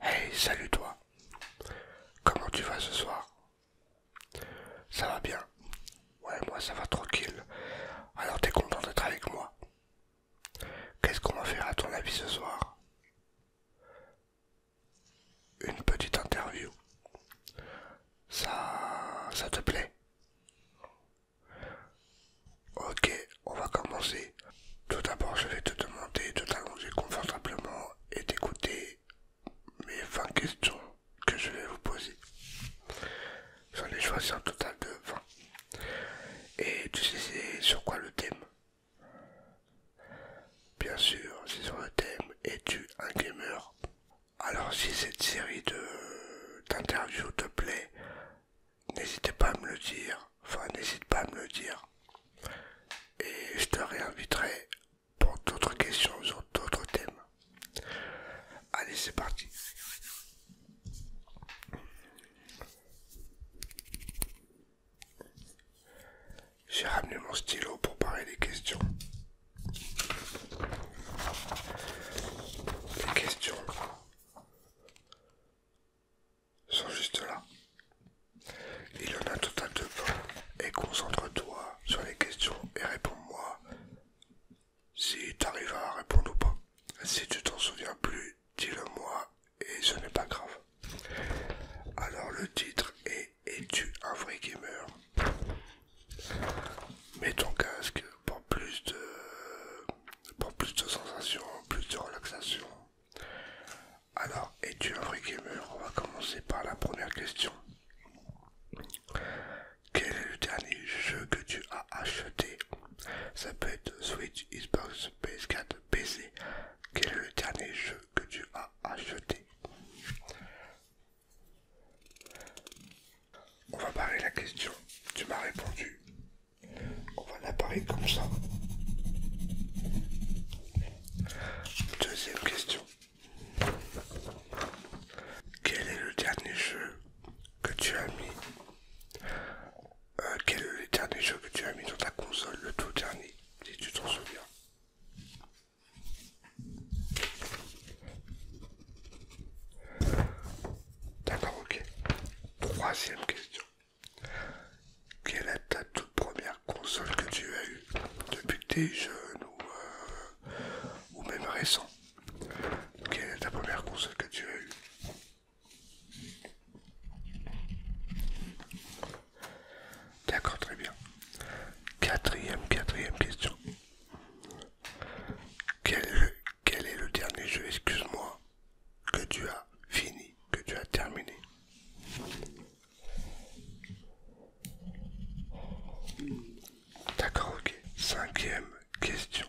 Hey, salut toi. Comment tu vas ce soir Ça va bien Ouais, moi ça va tranquille. Alors t'es content d'être avec moi Qu'est-ce qu'on va faire à ton avis ce soir Une petite interview. Ça... ça te plaît Ok, on va commencer. Tout d'abord, je vais te demander de t'allonger confortablement et d'écouter mes 20 questions que je vais vous poser. J'en ai choisi un total de 20. Et tu sais c'est sur quoi le thème Bien sûr, c'est sur le thème Es-tu un gamer Alors si cette série d'interviews te plaît, n'hésitez pas à me le dire Enfin, n'hésite pas à me le dire. Et je te réinviterai pour d'autres questions sur d'autres thèmes. Allez, c'est parti. J'ai ramené mon stylo pour parler des questions. Les questions sont juste là. Il y en a tout total de Et concentre-toi sur les questions et réponds-moi si t'arrives à répondre ou pas. Si tu t'en souviens plus, dis-le-moi et ce n'est pas grave. Alors le titre est Es-tu un vrai gamer Mets ton casque pour plus de pour plus de sensations, plus de relaxation. Alors, es-tu un vrai gamer On va commencer par la première question. Quel est le dernier jeu que tu as acheté Ça peut être Switch, Xbox, PS4, PC. Quel est le dernier jeu que tu as acheté On va parler de la question. Tu m'as répondu on va l'appareil comme ça. Deuxième question. Quel est le dernier jeu que tu as mis euh, Quel est le dernier jeu que tu as mis dans ta console, le tout dernier, si tu t'en souviens D'accord, ok. Troisième question. Quelle est ta toute première console que tu as eue depuis que t'es jeune ou, euh, même récent Quelle est ta première console que tu as eue D'accord, très bien. Quatrième, quatrième question. quel est le dernier jeu, excuse-moi, que tu as fini, que tu as terminé. D'accord, ok. Cinquième question.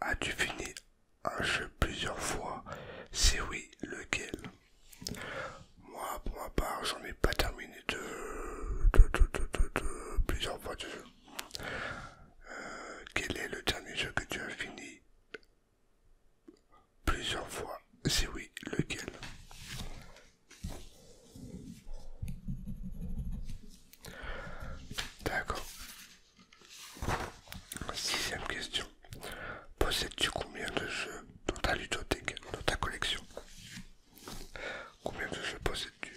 As-tu fini un jeu plusieurs fois Si oui, lequel Moi, pour ma part, j'en ai pas terminé de, plusieurs fois de jeu. Euh, quel est le dernier jeu que tu as fini Plusieurs fois. c'est oui, lequel D'accord. Sixième question. Possèdes-tu combien de jeux dans ta ludothèque, dans ta collection Combien de jeux possèdes-tu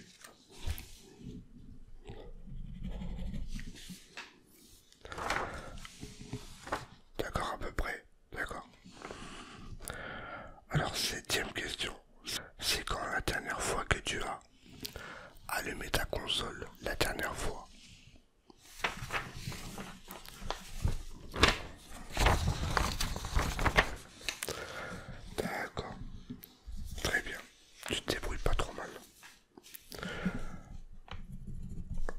D'accord, à peu près. D'accord. Alors, septième question. C'est quand la dernière fois que tu as allumé ta console La dernière fois. D'accord. Très bien. Tu te débrouilles pas trop mal.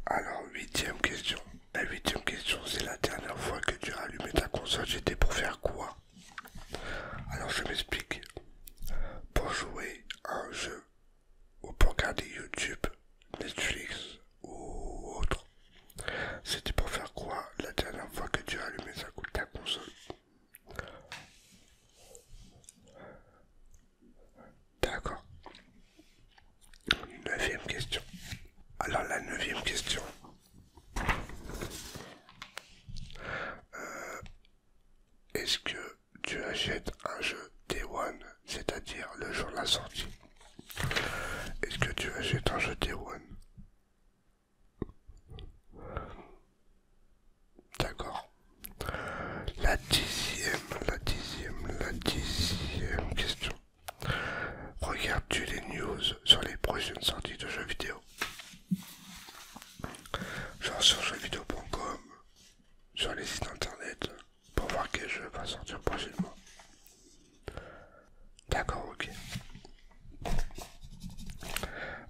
Alors, huitième question. La huitième question, c'est la dernière fois que tu as allumé ta console, j'étais pour faire quoi Alors, je m'explique. Pour jouer à un jeu, ou pour regarder YouTube, Netflix ou autre, c'était pour faire quoi la dernière fois que tu as allumé ta console D'accord. Neuvième question. Alors la neuvième question. Euh, est-ce que tu achètes un jeu Day One, c'est-à-dire le jour de la sortie Est-ce que tu achètes un jeu Day One D'accord. La dixième la dixième, la dixième question. Regardes-tu les news sur les prochaines sorties de jeux vidéo Genre sur jeuxvideo.com, sur les sites internet, pour voir quel jeu va sortir prochainement. D'accord, ok.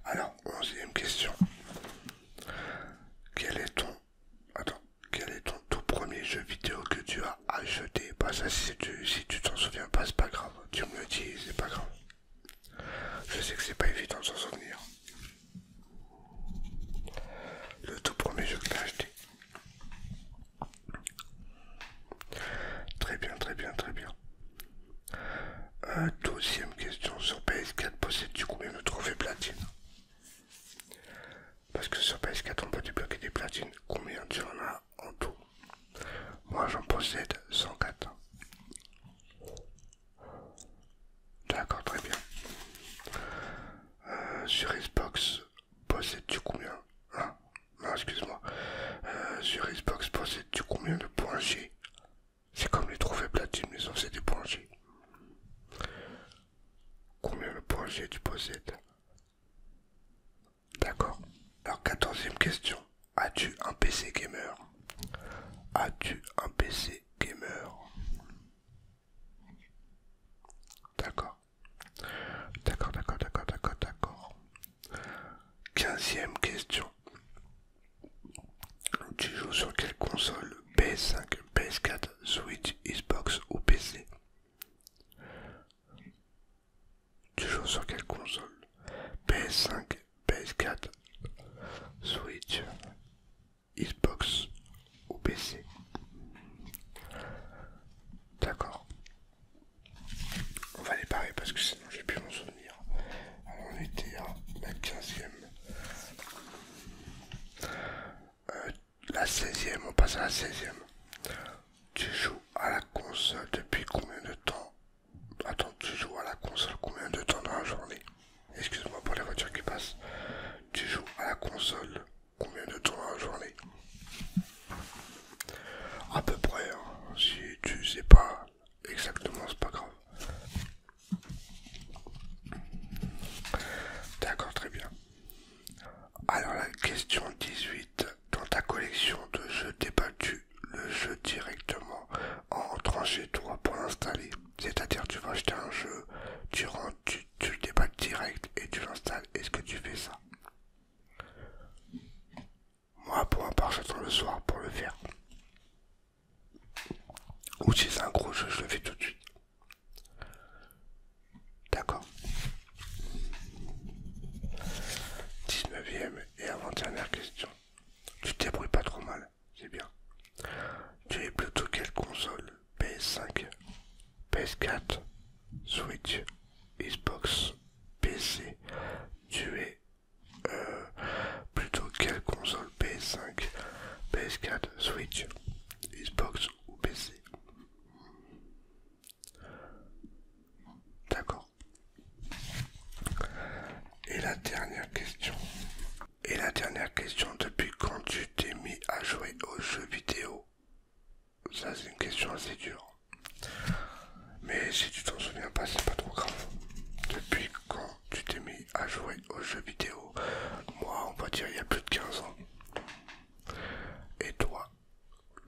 Alors, onzième question. Quel est ton Attends, quel est ton tout premier jeu vidéo que tu as acheté Bah ça si tu t'en souviens pas, c'est pas grave. Tu me dis, c'est pas grave. Je sais que c'est pas évident de s'en souvenir. Le tout premier jeu que tu as acheté. Très bien, très bien, très bien. Euh, deuxième question sur PS4, possède tu combien me trophées platine parce que sur PS4, on peut débloquer des platines. Combien tu en as en tout Moi, j'en possède 104. D'accord, très bien. Euh, sur Xbox, possèdes-tu combien hein Non, excuse-moi. Euh, sur Xbox, possède tu combien de points G C'est comme les trophées platine, mais en c'est des points G. Combien de projets tu possèdes D'accord. Alors, quatorzième question. As-tu un PC gamer As-tu un PC gamer D'accord. D'accord, d'accord, d'accord, d'accord, d'accord. Quinzième question. Tu joues sur quelle console PS5, PS4, Switch, Xbox ou PC. Tu joues sur quelle console PS5, PS4, Switch, Xbox ou PC. D'accord. On va les barrer parce que sinon j'ai plus mon souvenir. on était à la 15 ème euh, la 16e, on passe à la 16e. Tu joues à la console depuis combien de temps Attends, tu joues à la console combien de temps dans la journée Excuse-moi pour les voitures qui passent. Tu joues à la console combien de temps dans la journée À peu près, hein. si tu sais pas exactement, c'est pas grave. D'accord, très bien. Alors la question 18. Dans ta collection de jeux déballes-tu le jeu directement en rentrant chez toi pour l'installer. C'est-à-dire tu vas acheter un jeu, tu tu, le débats direct et tu l'installes. Est-ce que tu fais ça Moi pour un part j'attends le soir pour le faire. Ou si c'est un gros jeu, je le fais tout de suite. D'accord. 19e et avant-dernière question. Tu te pas trop mal, c'est bien. Tu es plutôt quelle console PS5, PS4, Switch, Xbox, PC. Tu es euh, plutôt quelle console PS5, PS4, Switch, Xbox ou PC D'accord. Et la dernière question. Et la dernière question, depuis quand tu t'es mis à jouer aux jeux vidéo Ça c'est une question assez dure. Mais si tu t'en souviens pas, c'est pas trop grave. Depuis quand tu t'es mis à jouer aux jeux vidéo Moi, on va dire il y a plus de 15 ans. Et toi,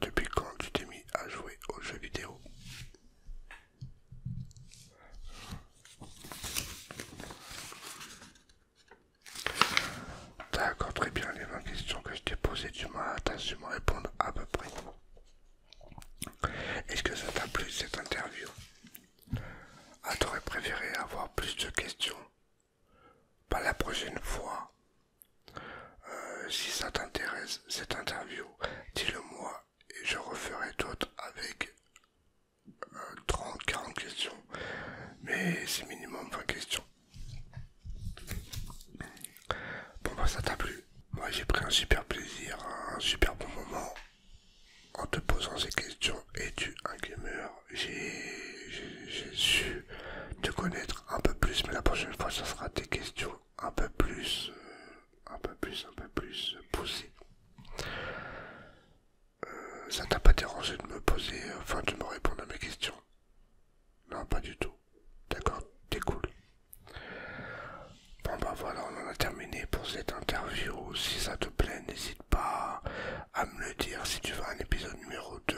depuis quand tu t'es mis à jouer aux jeux vidéo encore très bien, les 20 questions que je t'ai posées, tu m'as su me répondre à peu près. Est-ce que ça t'a plu cette interview Ah, t'aurais préféré avoir plus de questions pas la prochaine fois. Euh, si ça t'intéresse, cette interview, dis-le-moi et je referai d'autres avec 30, euh, 40 questions. Mais c'est minimum 20 questions. Bon, bah, ça t'a plu. Moi, j'ai pris un super plaisir, un super bon moment en te posant ces questions. et tu un gamer j'ai su te connaître un peu plus, mais la prochaine fois, ça sera des questions un peu plus, euh, un peu plus, un peu plus poussées. Euh, ça t'a pas dérangé de me poser, enfin de me répondre à mes questions Non, pas du tout. D'accord, t'es cool. Bon bah voilà, on en a terminé pour cette interview. Si ça te plaît, n'hésite pas à me le dire si tu veux un épisode numéro 2.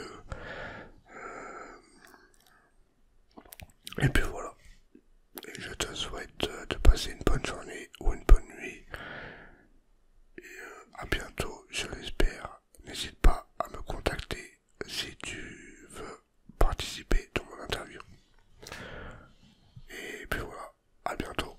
Euh, et puis voilà. je te souhaite euh, de passer une bonne journée ou une bonne nuit. Et euh, à bientôt, je l'espère. N'hésite pas à me contacter si tu veux participer dans mon interview. Et puis voilà, à bientôt.